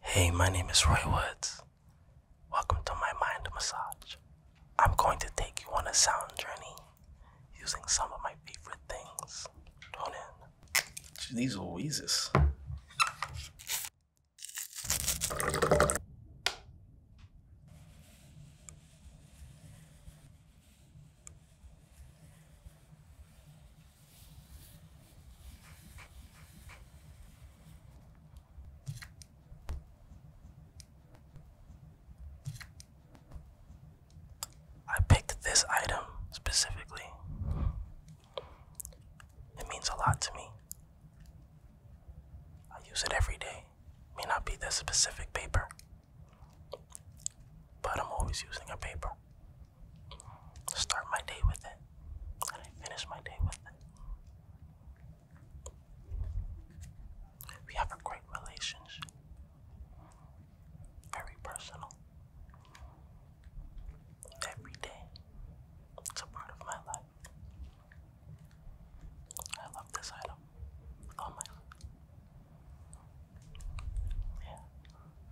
Hey, my name is Roy Woods. Welcome to my mind massage. I'm going to take you on a sound journey using some of my favorite things. Tune in. These Louises. I picked this item specifically. It means a lot to me. I use it every day. May not be this specific paper, but I'm always using a paper. Start my day with it, and I finish my day with it. We have a great relationship, very personal. Every day, it's a part of my life. I love this item with all my Yeah,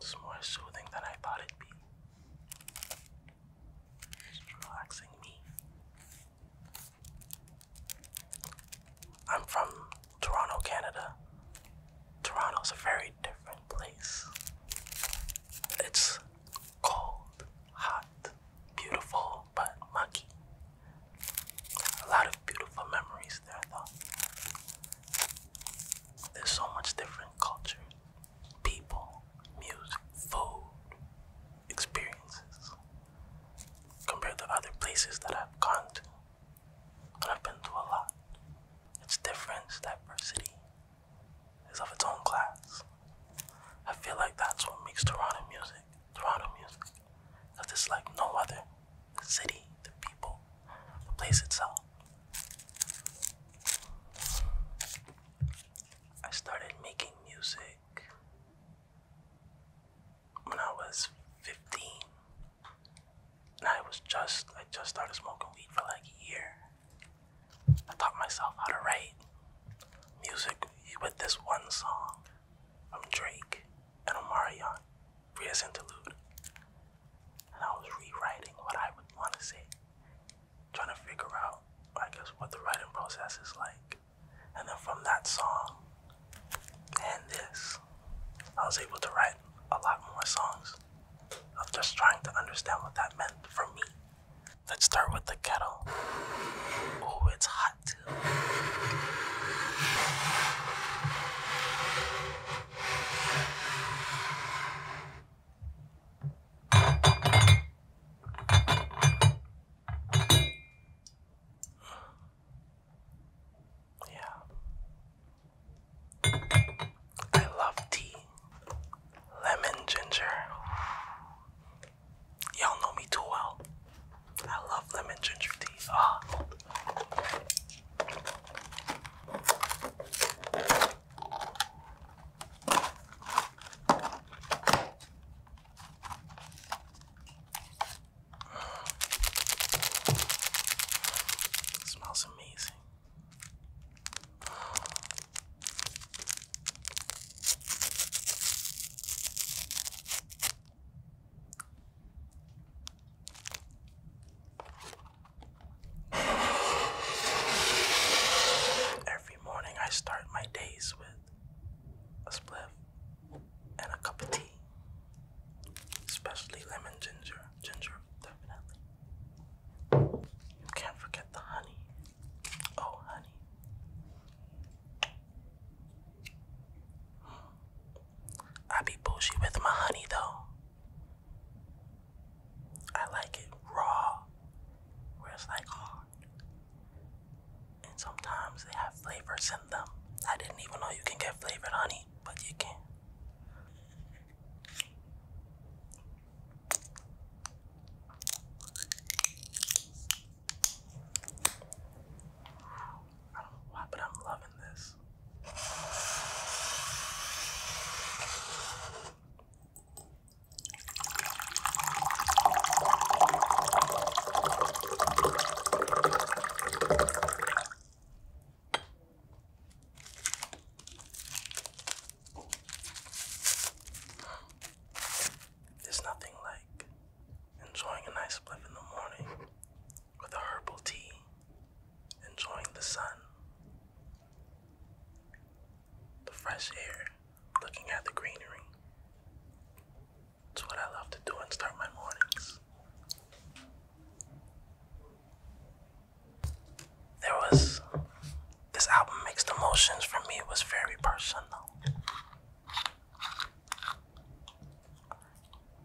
It's more soothing than I thought it'd be. It's relaxing me. I'm from Toronto, Canada. Toronto's a very different place. It's cold, hot, beautiful, but mucky. A lot of beautiful memories there, though. There's so much different culture, people, music, food, experiences compared to other places that I've gone to. And I've been to a lot. It's different, diversity is of its own class. I feel like that's what makes Toronto music, Toronto music. it's like no other. city, the people, the place itself. I started making music when I was 15 I was just I just started smoking weed for like a year. I taught myself how to write music with this one song from Drake and Omarion, Rhea's interlude. And I was rewriting what I would want to say, trying to figure out, I guess, what the writing process is like. And then from that song and this, I was able to write a lot more songs of just trying to understand what that meant for me. Let's start with the kettle. Oh, it's hot. Yeah. I love tea. Lemon ginger. Y'all know me too well. I love lemon ginger tea. Ah. It smells amazing. Every morning I start my days with a spliff and a cup of tea. Especially lemon ginger. Ginger, definitely. You can't forget the honey. Oh, honey. Hmm. I be bushy with my honey though. I like it raw, where it's like, oh, and sometimes they have flavors in them. I didn't even know you can get flavored honey, but you can. I but I'm loving this. There's nothing like enjoying a nice blip in the morning with a herbal tea, enjoying the sun the fresh air, looking at the greenery. It's what I love to do and start my mornings. There was this album mixed emotions for me was very personal.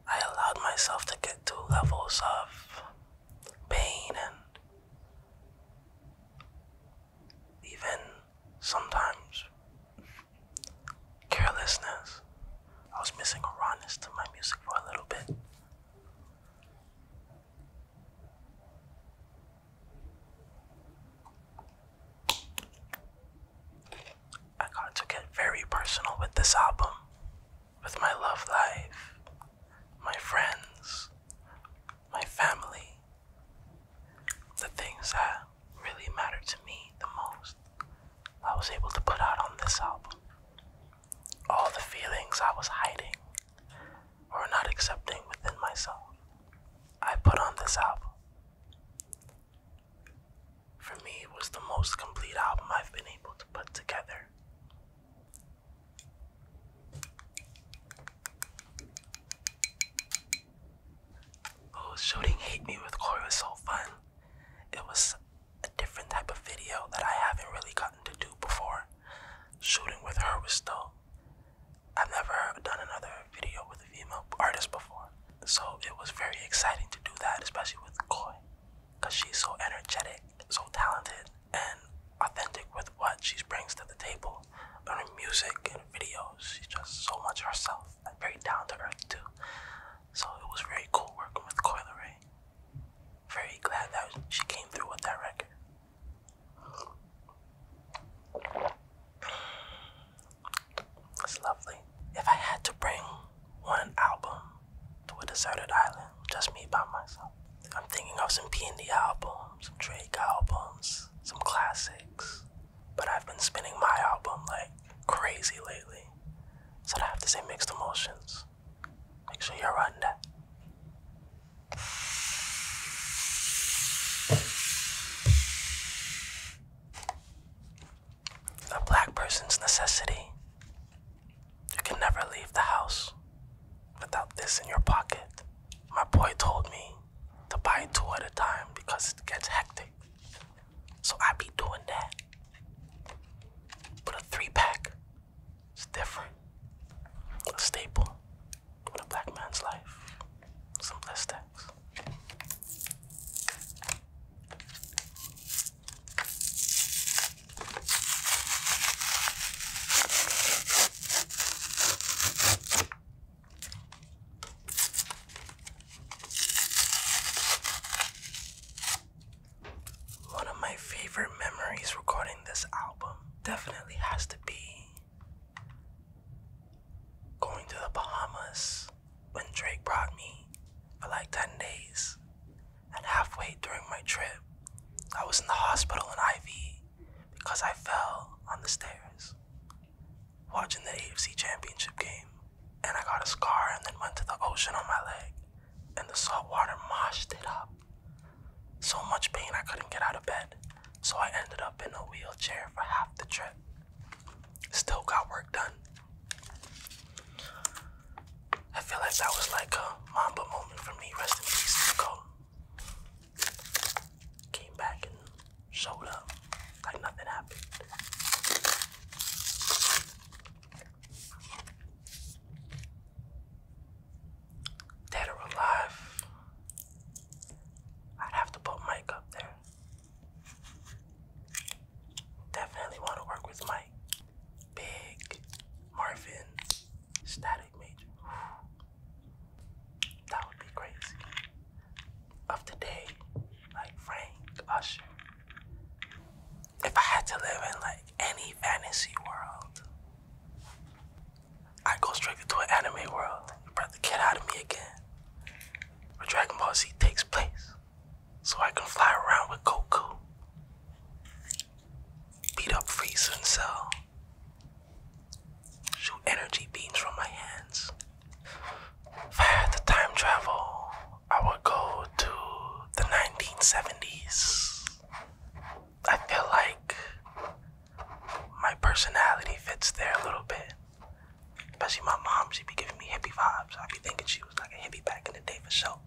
I allowed myself to get to levels of pain and even sometimes carelessness. I was missing a rawness to my music for a little bit. I got to get very personal with this album, with my love life, my friends, my family, the things that really mattered to me the most, I was able to put out on this album. All the feelings I was hiding or not accepting within myself, I put on this album. For me, it was the most complete album I've been able to put together. Oh, shooting with Corey was so fun. It was a different type of video that I haven't really gotten to do before. Shooting with her was still I've never done another video with a female artist before. So it was very exciting to do that, especially with Koi. Because she's so energetic, so talented, and authentic with what she brings to the table on her music and videos. She's just so much herself, and very down to earth too. So it was very cool working with Coyle Ray. Very glad that she came through with that record. That's lovely. If I had to bring one album to a deserted island, just me by myself, I'm thinking of some P&D albums, some Drake albums, some classics. But I've been spinning my album like crazy lately. So I have to say mixed emotions. Make sure you're on that. A black person's necessity. You can never leave the house without this in your pocket. My boy told me to buy two at a time because it gets hectic. So I be doing that. But a three pack is different. A staple in a black man's life. Some blistex. One of my favorite memories recording this album definitely has to be going to the Bahamas when Drake brought me for like 10 days and halfway during my trip, I was in the hospital in IV because I fell on the stairs watching the AFC Championship game, and I got a scar and then went to the ocean on my leg, and the salt water moshed it up. So much pain I couldn't get out of bed, so I ended up in a wheelchair for half the trip. Still got work done. I feel like that was like a Mamba moment for me. Rest in peace, Nicole. Came back and showed up like nothing happened. Dead or alive, I'd have to put Mike up there. Definitely want to work with Mike. Big, Marvin, Static Major. That would be crazy. Of today, like Frank, Usher. If I had to live in like any fantasy world, I go straight into an anime world. You brought the kid out of me again. Where Dragon Ball Z takes place so I can fly around with Goku, beat up Frieza and Cell, shoot energy beams from my hands. If I had the time travel, I would go to the 1970s. I feel like my personality fits there a little bit. Especially my mom, she'd be giving me hippie vibes. I'd be thinking she was like a hippie back in the day for sure.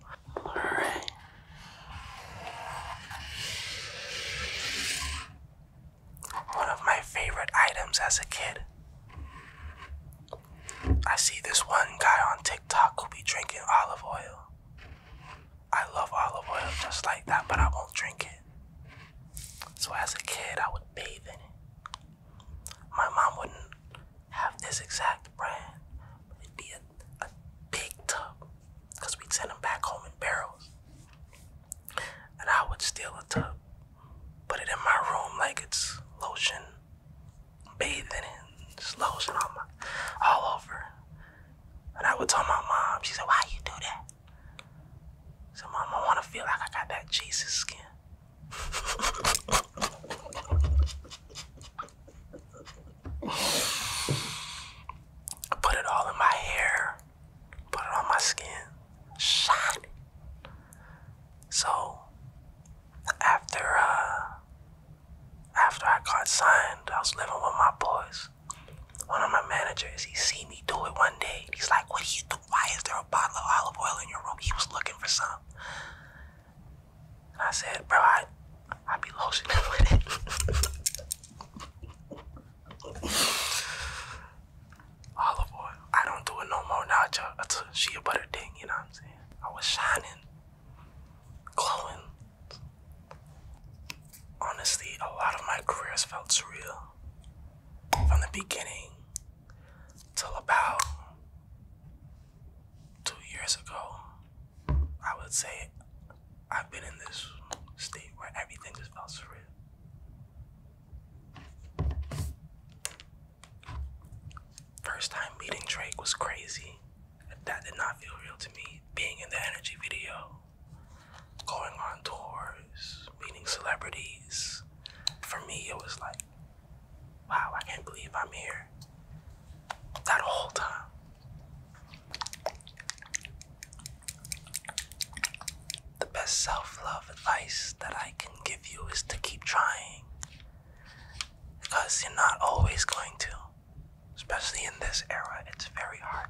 One of my favorite items as a kid. I see this one guy on TikTok who be drinking olive oil. I love olive oil just like that, but I won't drink it. So as a kid, I would bathe in it. My mom wouldn't have this exact brand, but it'd be a, a big tub because we'd send them back home in barrels. And I would steal a tub, put it in my room like it's lotion, bathing in it, just lotion all, over. And I would tell my mom, she said, Why you do that? I said, Mom, I want to feel like I got that Jesus skin. Put it all in my hair. Put it on my skin. Shot So after uh after I got signed, I was living with my boys. One of my managers, he see me do it one day. He's like, "What do you do? Why is there a bottle of olive oil in your room?" He was looking for some, and I said, bro, I I be lotioning with it. Olive oil. I don't do it no more now. It's a shea butter thing, you know what I'm saying? I was shining, glowing. Honestly, a lot of my careers felt surreal. From the beginning till about two years ago, I would say I've been in this state where everything just felt surreal. First time meeting Drake was crazy. That did not feel real to me. Being in the energy video, going on tours, meeting celebrities. For me, it was like Wow, I can't believe I'm here. That whole time. The best self love advice that I can give you is to keep trying. Because you're not always going to. Especially in this era, it's very hard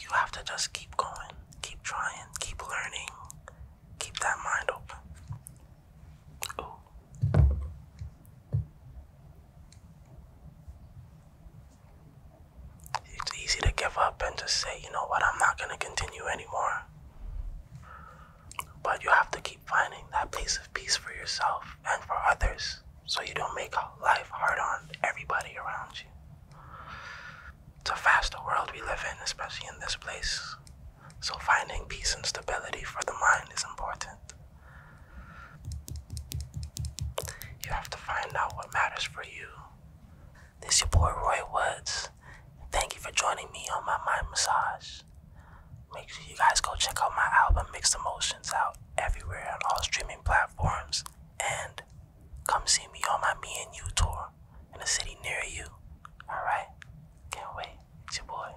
You have to just keep going, keep trying, keep learning, Keep that mind open. It's easy to give up and just say, you know what, I'm not going to continue anymore. But you have to keep finding that place of peace for yourself and for others so you don't make life hard on everybody around you. It's a fast world we live in, especially in this place. So, finding peace and stability for the mind is important. You have to find out what matters for you. This is your boy Roy Woods. Thank you for joining me on my mind massage. Make sure you guys go check out my album Mixed Emotions out everywhere on all streaming platforms and come see me on my Me and You tour in a city near you. Alright? Can't wait. It's your boy.